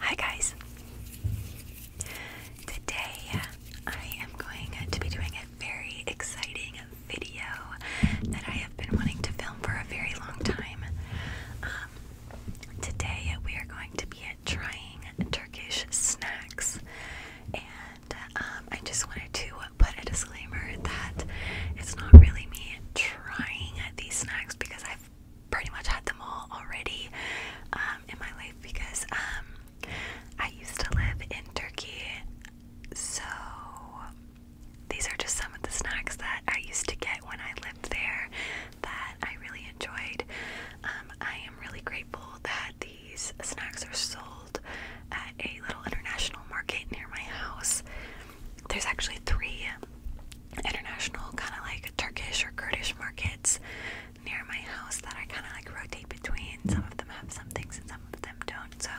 Hi guys! Today I am going to be doing a very exciting video that I have been wanting to film for a very long time. Um, today we are going to be trying Turkish snacks and um, I just wanted to put a disclaimer that it's not really me trying these snacks because i pretty much had them all already um, in my life because um, I used to live in Turkey. So these are just some of the snacks that I used to get when I lived there that I really enjoyed. Um, I am really grateful that these snacks are sold at a little international market near my house there's actually three international kind of like Turkish or Kurdish markets near my house that I kind of like rotate between. Some of them have some things and some of them don't. So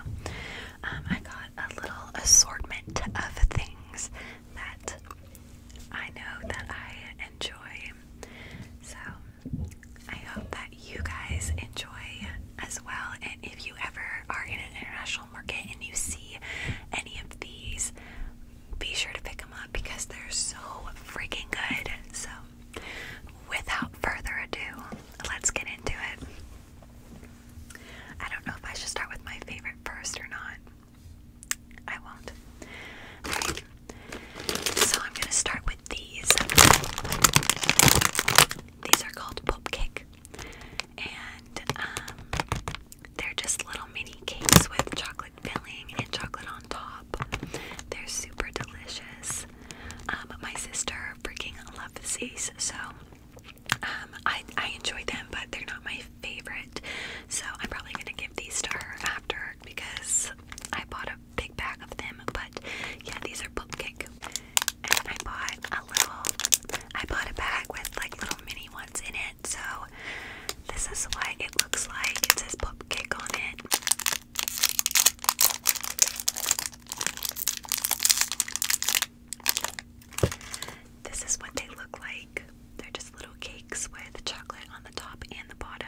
um, I got a little assortment of things that I know that I enjoy. So I hope that you guys enjoy as well. And if you ever are in an international and you see any of these, be sure to pick them up because they're so freaking good. So, without further ado, let's get into it. I don't know if I should start with my favorite first or not. I won't. Alright. So I'm gonna start with these. These are called Pop Cake. And um they're just little mini cakes with chocolate filling and chocolate on top. They're super delicious. Um, my sister freaking loves these, so um, I, I enjoy them, but they're not my favorite. So I'm probably gonna give these to her after because I bought a big bag of them. But yeah, these are pump cake. And I bought a little, I bought a bag with like little mini ones. So this is what it looks like. It says pop cake on it. This is what they look like. They're just little cakes with chocolate on the top and the bottom.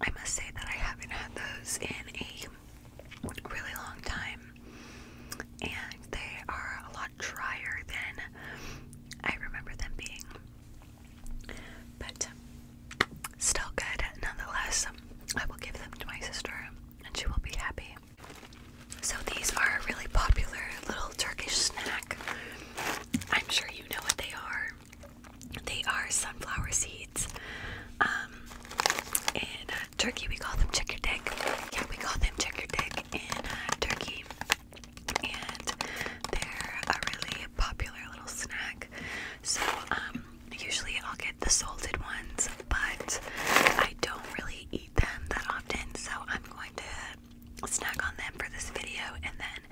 I must say that I haven't had those in a really long time, and they are a lot drier than I remember them being. But still good nonetheless. I will give them to my sister and she will be happy. So these are a really popular little Turkish snack. I'm sure you know what they are. They are sunflower seeds. Um, in uh, Turkey, we call them chicker dick. Yeah, we call them chicker in uh, Turkey. And they're a really popular little snack. So, um, usually I'll get the salted ones, but I don't really eat them that often. So, I'm going to snack on them for this video and then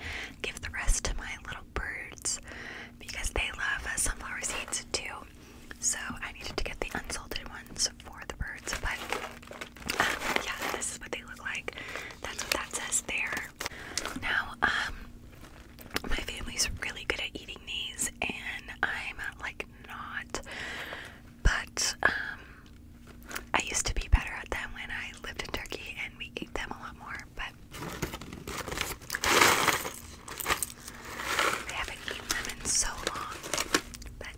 give the rest to my little birds because they love uh, sunflower seeds too. So I needed to get the unsalted ones for the birds. But um, yeah, this is what they look like. That's what that says there. Now, um, my family's really good at eating these, and I'm uh, like not. But um, I used to be better at them when I lived in Turkey, and we ate them a lot more. But I haven't eaten them in so long, but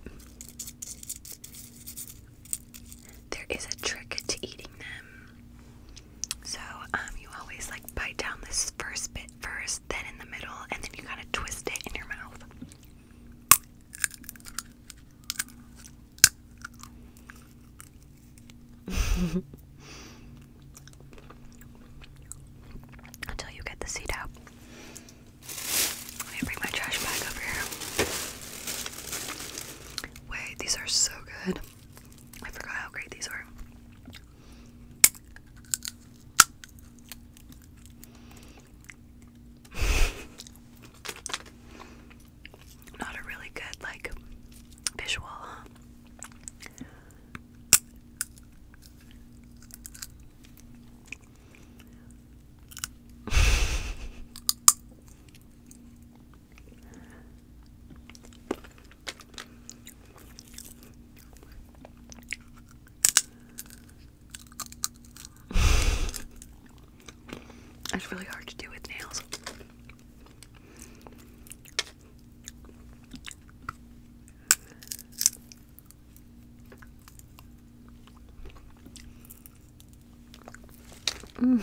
there is a trick to eating them. So, um, you always like bite down this first bit first, then in the middle, and then you kind of twist it in your mouth. Until you get the seed out. Let me bring my trash bag over here. Wait, these are so good. I forgot how great these are. Not a really good, like, visual, huh? It's really hard to do with nails. Mm.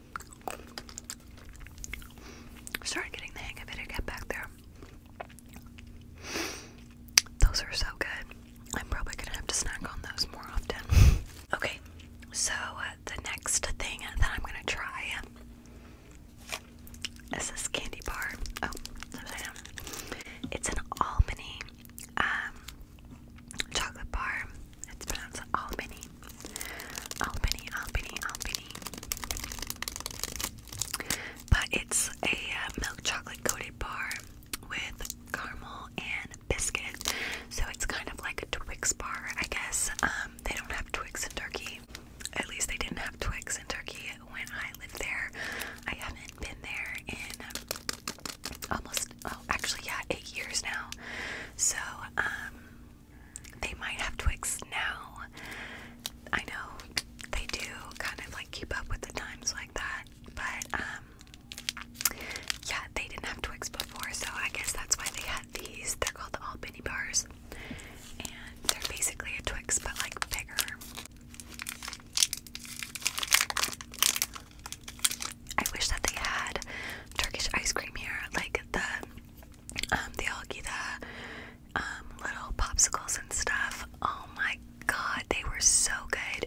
Started getting the hang of it. I get back there. Those are so good. I'm probably gonna have to snack on those more often. okay, so uh, the next thing that I'm gonna try is this candy bar. Oh, It's an Albany um, chocolate bar. It's pronounced Albany. Albany, Albany, Albany. But it's a uh, milk chocolate coated bar with caramel and biscuit. So it's kind of like a Twix bar, I guess. Um, they don't have Twix in Turkey. At least they didn't have Twix in Turkey when I lived there. I haven't been there in almost, oh, actually, yeah, eight years now. So, um, they might have Twix now. I know they do kind of like keep up with the times like that, but um, yeah, they didn't have Twix before, so I guess that's why they had these. They're called the All Penny Bars, and they're basically a Twix but like bigger. I wish that they had Turkish ice cream here, like the um, they all get the um, little popsicles and stuff. Oh my god, they were so good.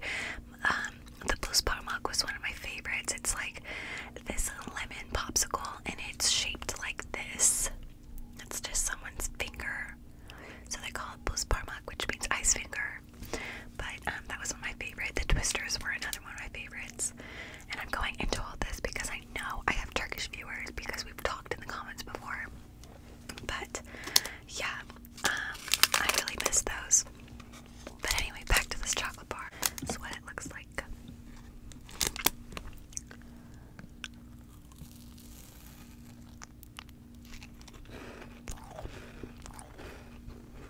Um, the blue spot mug was one of my favorites. It's like this lemon popsicle, and it's shaped like this. It's just someone's finger, so they call it blue spot mug, which means ice finger. But that was one of my favorite. The twisters were another one of my favorites. And I'm going into all this because I know I have Turkish viewers because we've talked in the comments before. But yeah, um, I really miss those. But anyway, back to this chocolate bar. This is what it looks like.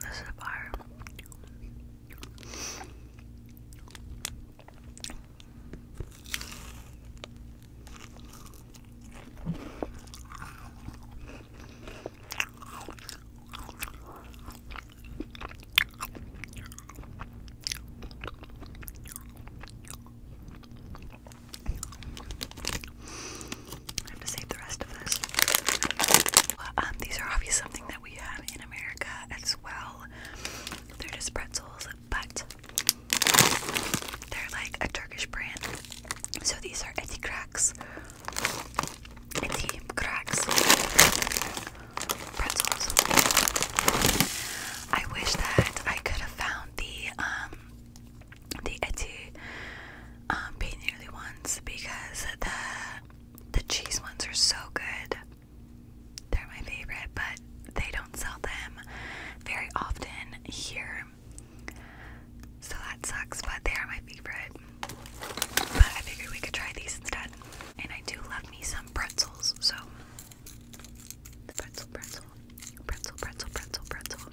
This is fire. I have to save the rest of this. Um, these are obviously something that we have in America as well. They're just pretzels, but they're like a Turkish brand. So these are eti cracks. Eti cracks pretzels. I wish that I could have found the um the Etsy um pain nearly ones because the the cheese ones are so good. They're my favorite, but they don't sell them very often here. So that sucks, but they are my favorite. But I figured we could try these instead. And I do love me some pretzels, so the pretzel, pretzel, pretzel, pretzel, pretzel, pretzel.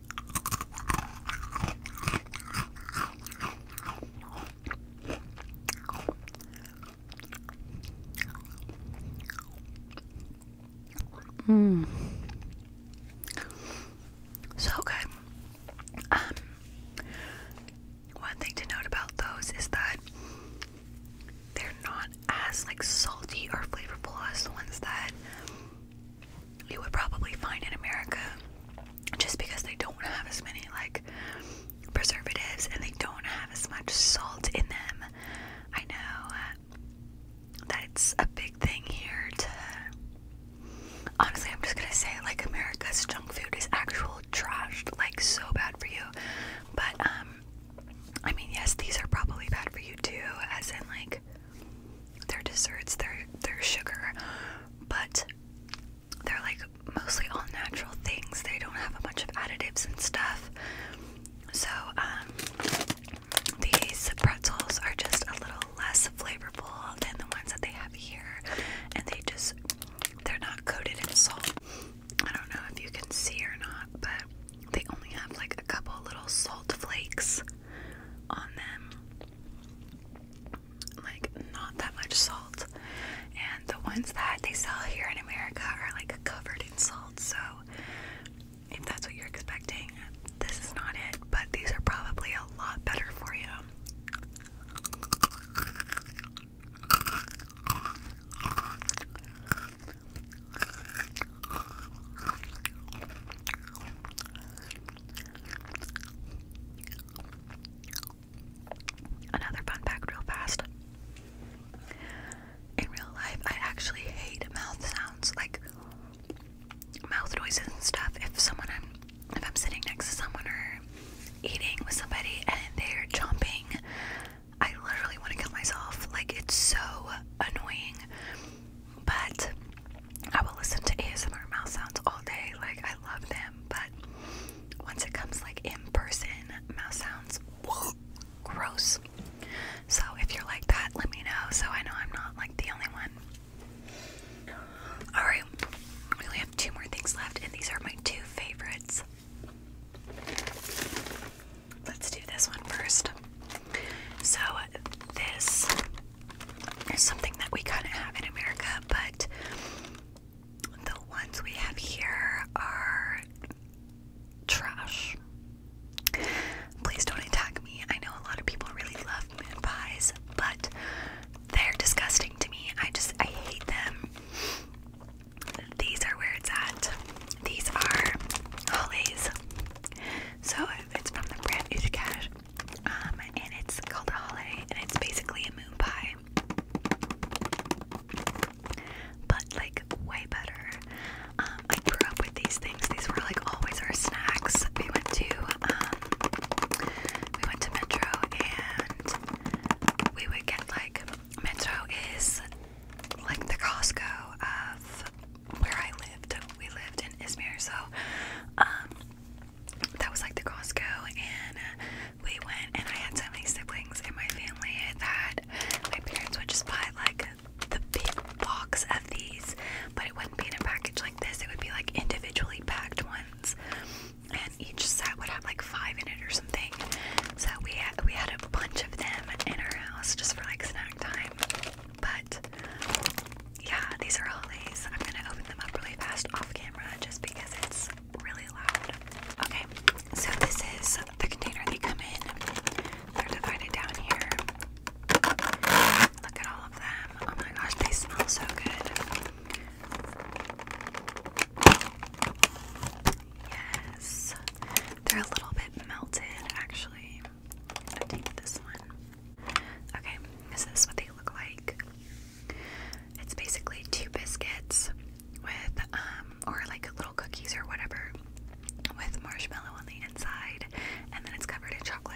Hmm, So good. Um, one thing to note about those is that they're not as like salty or flavorful as the ones that you would probably find in America just because they don't have as many like preservatives and they don't have as much salt in them. I know uh, that it's a big thing here to honestly I'm just gonna say like America's junk food is actual trash, like so bad for you. But um I mean yes these are probably bad for you too as in like their desserts, their are sugar, but they're like mostly all natural things. They don't have a bunch of additives and stuff. So, um, these pretzels are just a little less flavorful than the ones that they have here, and they just they're not coated in salt. I don't know if you can see or not, but they only have like a couple little salt flakes on them. Like, not that much salt. And the ones that they sell here in America are like covered in salt. So, if that's what you're expecting, this is not it. But these are probably a lot better for you. Another fun fact, real fast. In real life, I actually hate mouth sounds, like mouth noises and stuff. If someone I'm, if I'm sitting next to someone or eating with somebody and they're chomping, I literally want to kill myself. Like it's so annoying. But I will listen to ASMR mouse sounds all day. Like I love them, but once it comes like in person mouse sounds, gross. So if you're like that, let me know so I know I'm not like the only one. Alright, we only have two more things left, and these are my two favorites. Let's do this one first. So, this is something that we kind of have in America, but the ones we have here are trash. Please don't attack me. I know a lot of people really love moon pies, but they're disgusting to me. I just, I hate them. These are where it's at. These are Hollies. So it's from the brand Ushkash, um, and it's called a holiday, and it's basically a moon pie, but like way better. Um, I grew up with these things; these were like always our snacks. We went to um, we went to Metro, and we would get like Metro is like the Costco of where I lived. We lived in Izmir, so um, that was like the Costco, and uh, we went. And I had so many siblings in my family that my parents would just buy like the big box of these, but it wouldn't be in a package like this. It would be like individually packed ones, and each set would have like five in it or something. So we had, we had a bunch of them in our house just for like snack time. But yeah, these are Hollies. I'm gonna open them up really fast off camera just because it's really loud. Okay, so this is the container they come in. They're divided down here. Look at all of them. Oh my gosh, they smell so good. Yes, they're a little bit melted actually updated this one. Okay, this is what they look like. It's basically two biscuits with, um, or like little cookies or whatever, with marshmallow on the inside, and then it's covered in chocolate.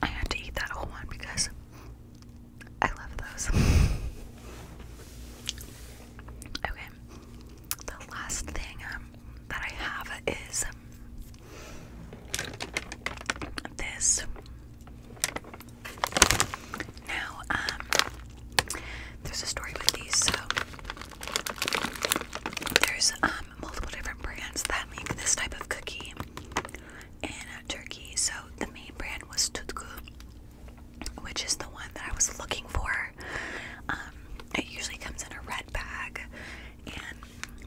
I had to eat that whole one because I love those. okay, the last thing um, that I have is this now, um, there's a story with these, so there's um multiple different brands that make this type of cookie in Turkey. So the main brand was Tutku, which is the one that I was looking for. Um, it usually comes in a red bag, and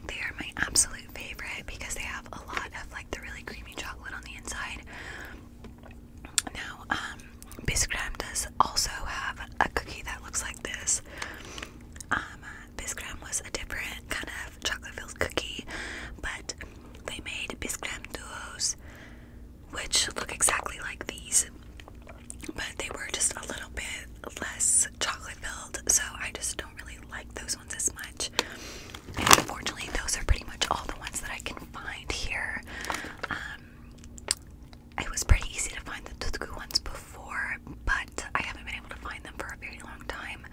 they are my absolute favorite because they have a lot of like the really creamy chocolate on the inside. Now, Biscram um, does also have a cookie that looks like this. Biscram um, uh, was a different kind of chocolate filled cookie, but they made Biscram duos, which look exactly like these, but they were just a little bit less chocolate filled, so I just don't really like those ones as much. And unfortunately, those are pretty much all the ones that I can find here. Um, it was pretty easy to find the tutku ones before, but I haven't been able to find them for a very long time.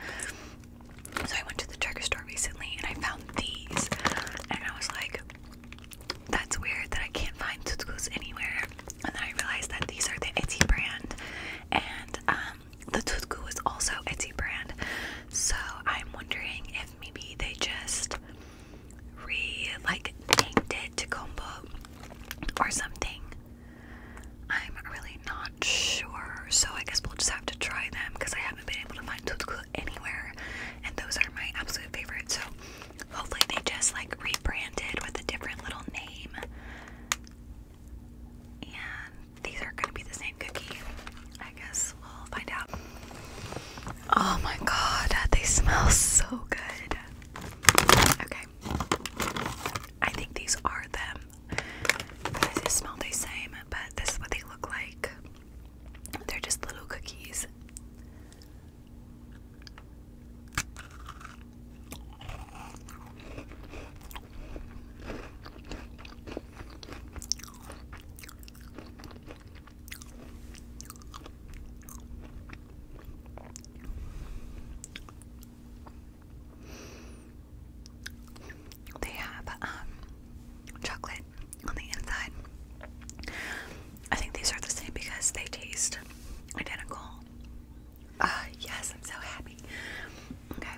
So I went to the drugstore recently and I found these, and I was like, "That's weird that I can't find tutkus anywhere." And then I realized that these are the Etsy brand, and um, the tutku is also Etsy brand. So I'm wondering if maybe they just re like named it to or something. I'm really not sure, so I guess we'll just have to try them because I haven't been able to find tutku anywhere, and those are my absolute favorite. So hopefully they just like rebranded with a different little name. And these are gonna be the same cookie, I guess we'll find out. Oh my god, they smell so good. Okay. I think these are them. They smell the same, but this is what they look like. They're just little cookies. They have um, chocolate on the inside. I think these are the same because they taste identical. Ah, yes, I'm so happy. Okay.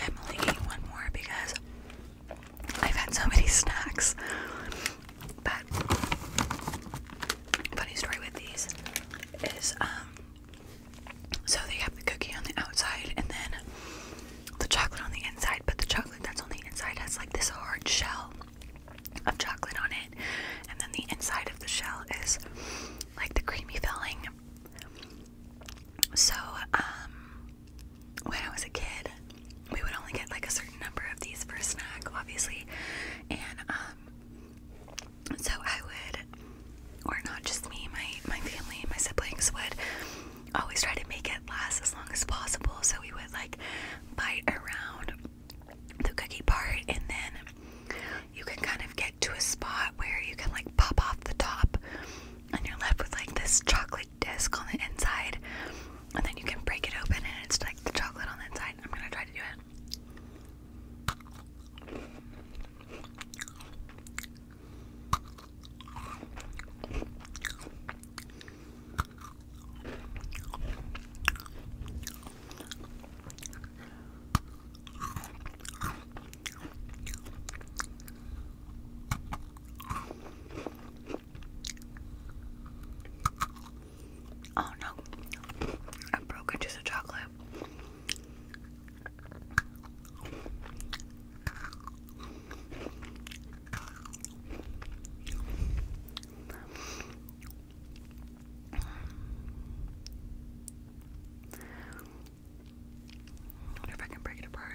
I'm one more because I've had so many snacks. But funny story with these is um so they have the cookie on the outside and then the chocolate on the inside, but the chocolate that's on the inside has like this hard shell of chocolate on it, and then the inside of the shell is like the creamy filling. So, um, when I was a kid, we would only get like a certain number of these for a snack, obviously, and um, so I would, or not just me, my my family, my siblings would always try to make it last as long as possible. So we would like bite around the cookie part, and then you can kind of get to a spot where you can like pop off the top, and you're left with like this chocolate disc on the inside, and then you can break it open, and it's like the chocolate on the inside. I'm gonna try to do it. Oh no, I broke into the chocolate. Wonder if I can break it apart.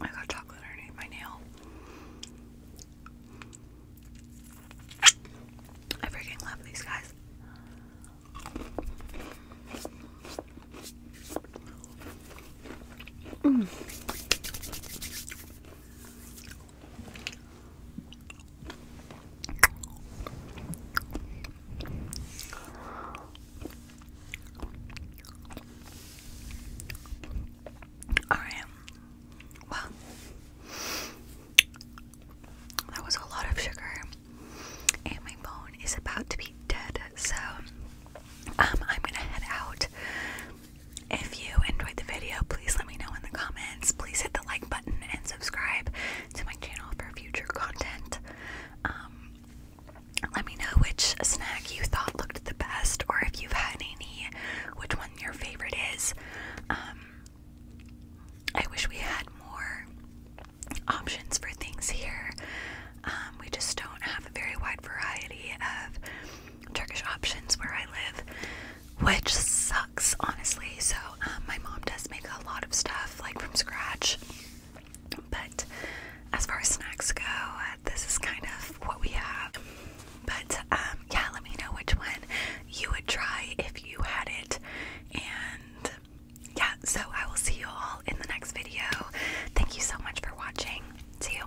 I got chocolate underneath my nail. I freaking love these guys. All right. Well, that was a lot of sugar, and my bone is about to be dead. So, um, I'm gonna head out. If you enjoyed the video, please let me know in the comments. Please hit the like button and subscribe to my channel for future content. Um, let me know which snack you thought looked the best, or if you've had any, which one your favorite is. Um, I wish we had more options for things here. Um, we just don't have a very wide variety of Turkish options where I live which sucks, honestly. So, um, my mom does make a lot of stuff like from scratch, but as far as snacks go, uh, this is kind of what we have. But, um, yeah, let me know which one you would try if you had it. And yeah, so I will see you all in the next video. Thank you so much for watching. See you.